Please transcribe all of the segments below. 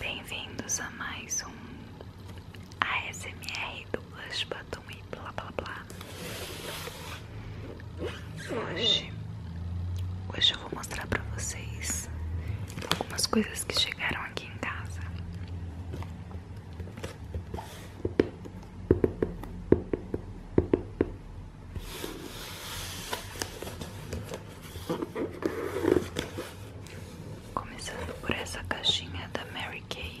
Bem-vindos a mais um ASMR do Blush Batom e blá blá blá. Hoje, hoje eu vou mostrar pra vocês algumas coisas que chegaram aqui em casa. Começando por essa caixinha da Mary Kay.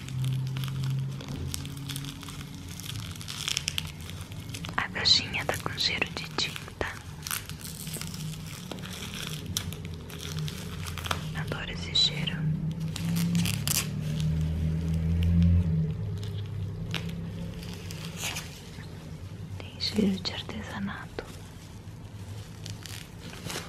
A caixinha tá com cheiro de tinta. Adoro esse cheiro. Tem cheiro de artesanato.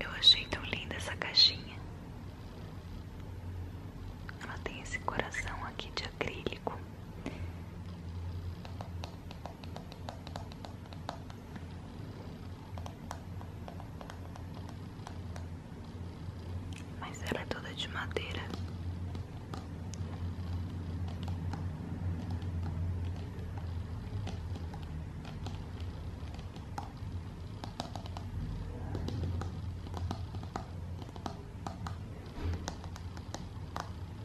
Eu achei tão linda essa caixinha. Ela tem esse coração aqui de acrílico. Mas ela é toda de madeira.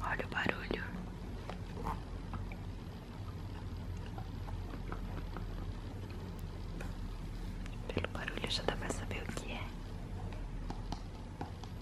Olha o barulho. Pelo barulho já dá pra saber o que é.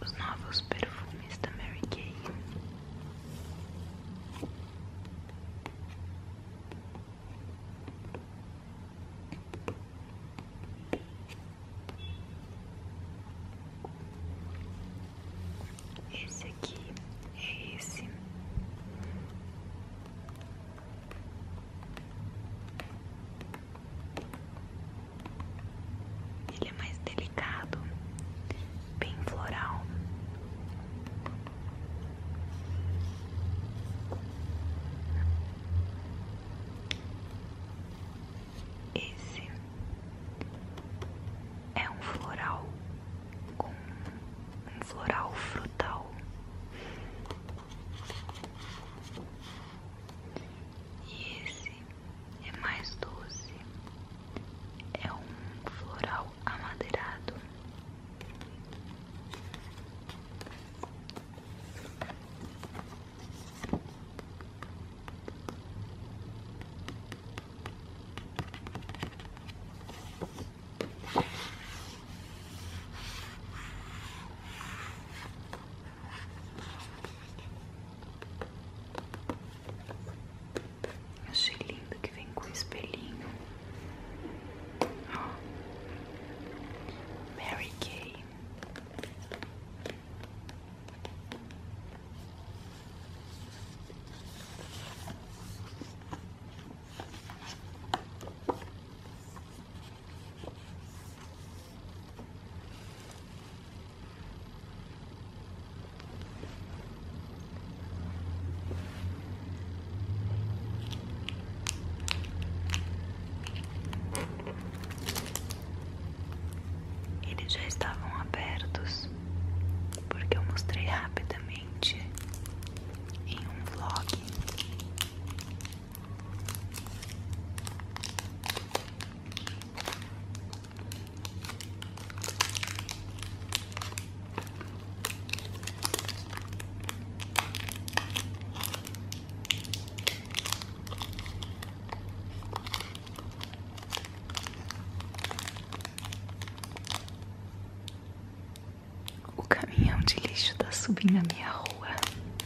os novos perfumes da Mary Kay. Esse aqui é esse. Ele é mais delicado, bem floral. Esse é um floral com um floral frutal. E esse é mais doce, é um floral amadeirado. Achei lindo que vem com espelhinho. Oh. Mary Kay. Eles já estavam abertos porque eu mostrei rapidamente em um vlog. O caminhão de lixo está subindo a minha rua.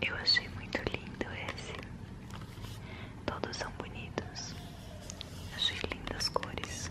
Eu achei muito lindo esse. Todos são bonitos. Achei lindas cores.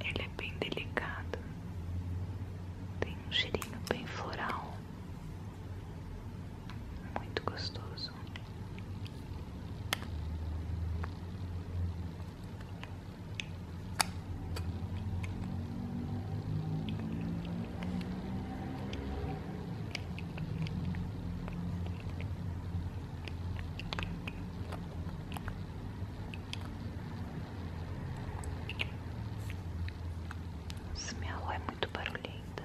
Ele é bem delicado, tem um cheirinho bem floral, muito gostoso. Se minha rua é muito barulhenta.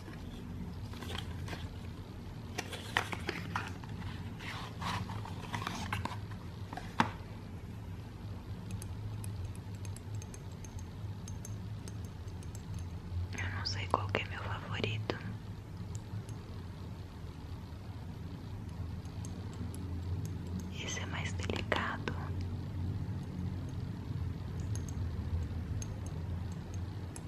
Eu não sei qual é meu favorito. Esse é mais delicado.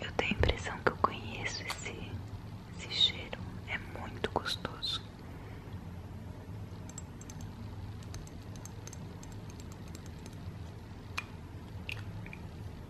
Eu tenho a impressão que eu conheço esse, esse cheiro, é muito gostoso.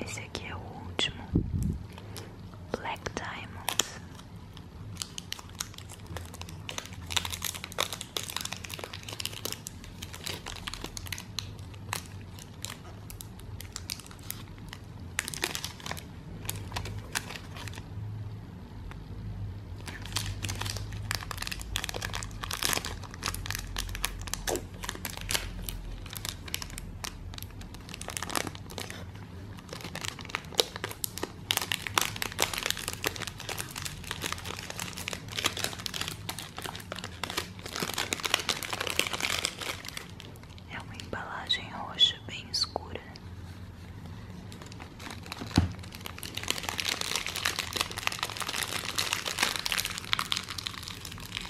Esse aqui é o último Black Diamond. É uma embalagem roxa bem escura.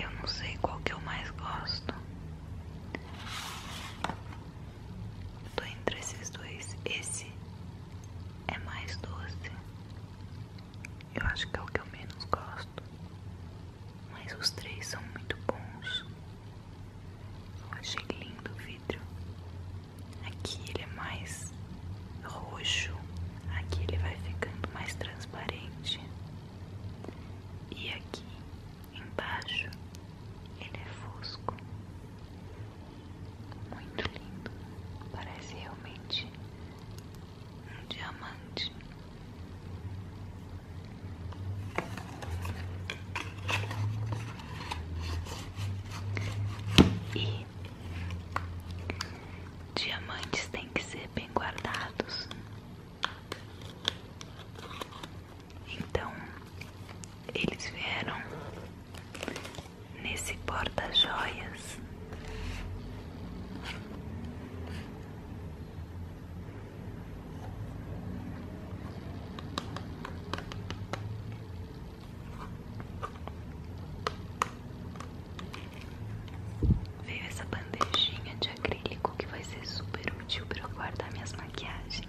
Eu não sei qual que eu mais gosto. Estou entre esses dois. Esse é mais doce. Eu acho que é o que eu menos gosto. Mas os três são muito bons. Eu achei lindo o vidro. Aqui ele é mais roxo. Aqui ele vai ficando mais transparente. E aqui embaixo ele é fosco. Muito lindo. Parece realmente um diamante. E diamantes têm que ser bem guardados. Então, eles vieram nesse porta-joias. Veio essa bandejinha de acrílico que vai ser super útil para guardar minhas maquiagens.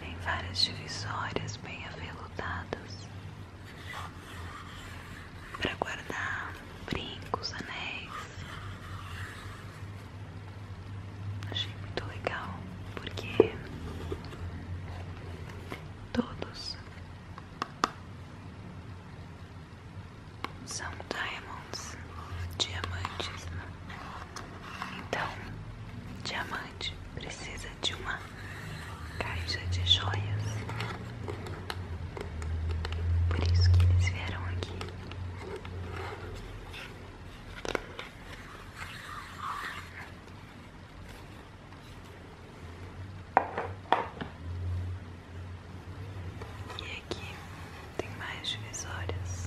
vem várias divisórias bem aveludadas para guardar brincos, anéis. Achei muito legal porque todos são diamonds, diamantes. Então, diamante precisa de uma caixa de joias. Por isso que eles vieram aqui. E aqui tem mais divisórias.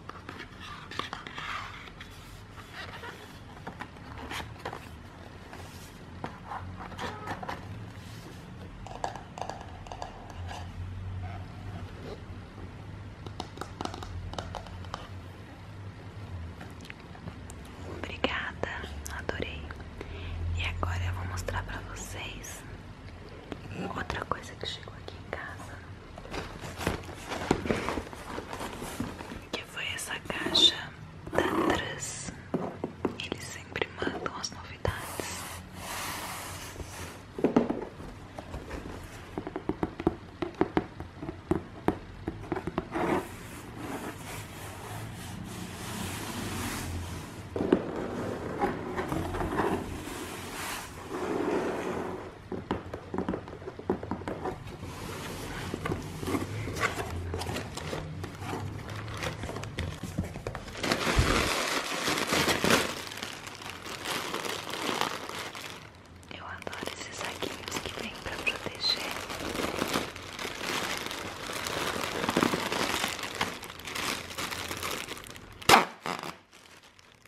Obrigada, adorei. E agora eu vou mostrar para vocês outra coisa que chegou aqui em casa. Que foi essa caixa da Trans. Eles sempre mandam as novidades. Eu adoro esses saquinhos que vem para proteger.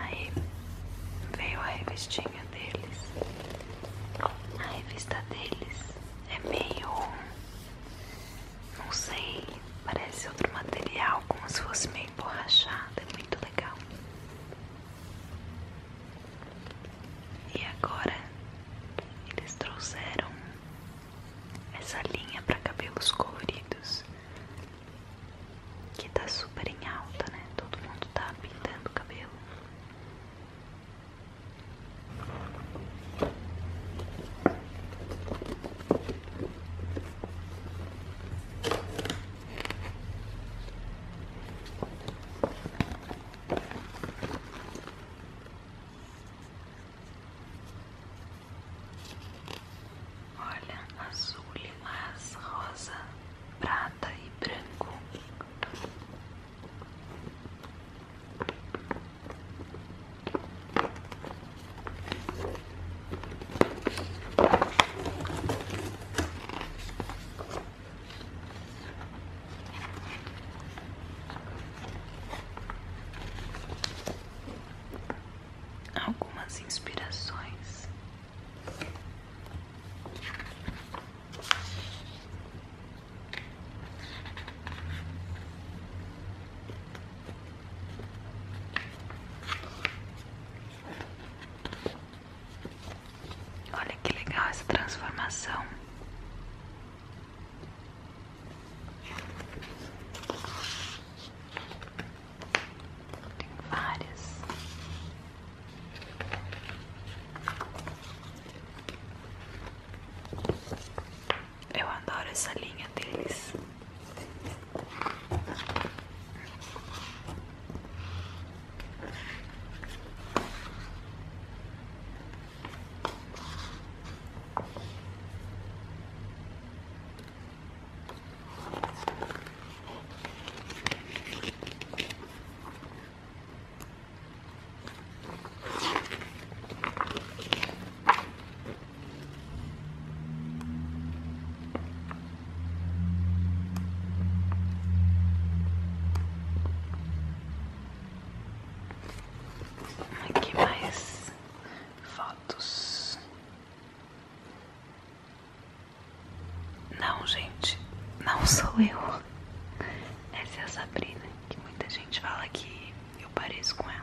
Aí veio a revistinha deles. A revista deles é meio não sei, parece outro material, como se fosse meio emborrachado, é muito legal. E agora eles trouxeram essa linha para cabelos coloridos que tá super em alta, né? Todo mundo tá pintando o cabelo. Olha, azul, lilás, rosa, prata e branco algumas inspirações. Olha que legal essa transformação. Tem várias. Eu adoro essa linha deles. Aqui mais fotos. Não, gente, não sou eu. Essa é a Sabrina, que muita gente fala que eu pareço com ela.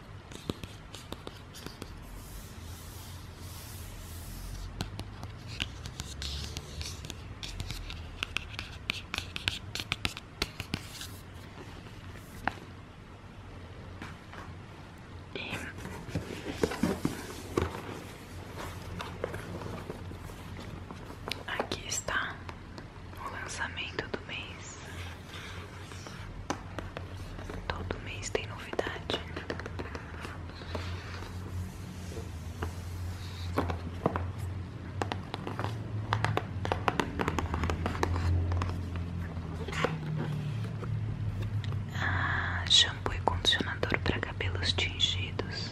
E aqui está o lançamento do mês. Todo mês tem novidade. Ah, shampoo e condicionador para cabelos tingidos.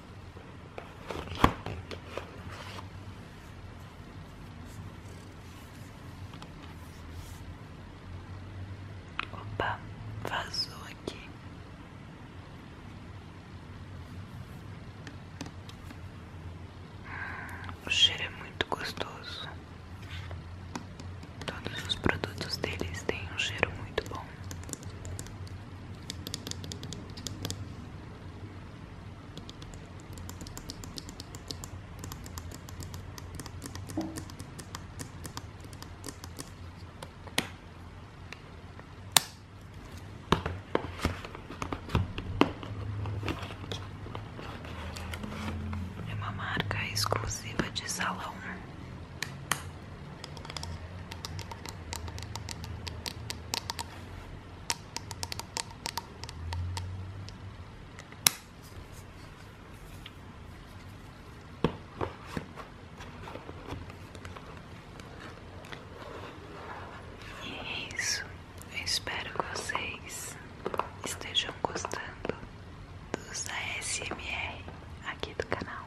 Opa, vazou aqui. O cheiro é muito gostoso. Todos os produtos deles têm um cheiro muito bom. É uma marca exclusiva de salão. E isso. Eu espero que vocês estejam gostando dos ASMR aqui do canal.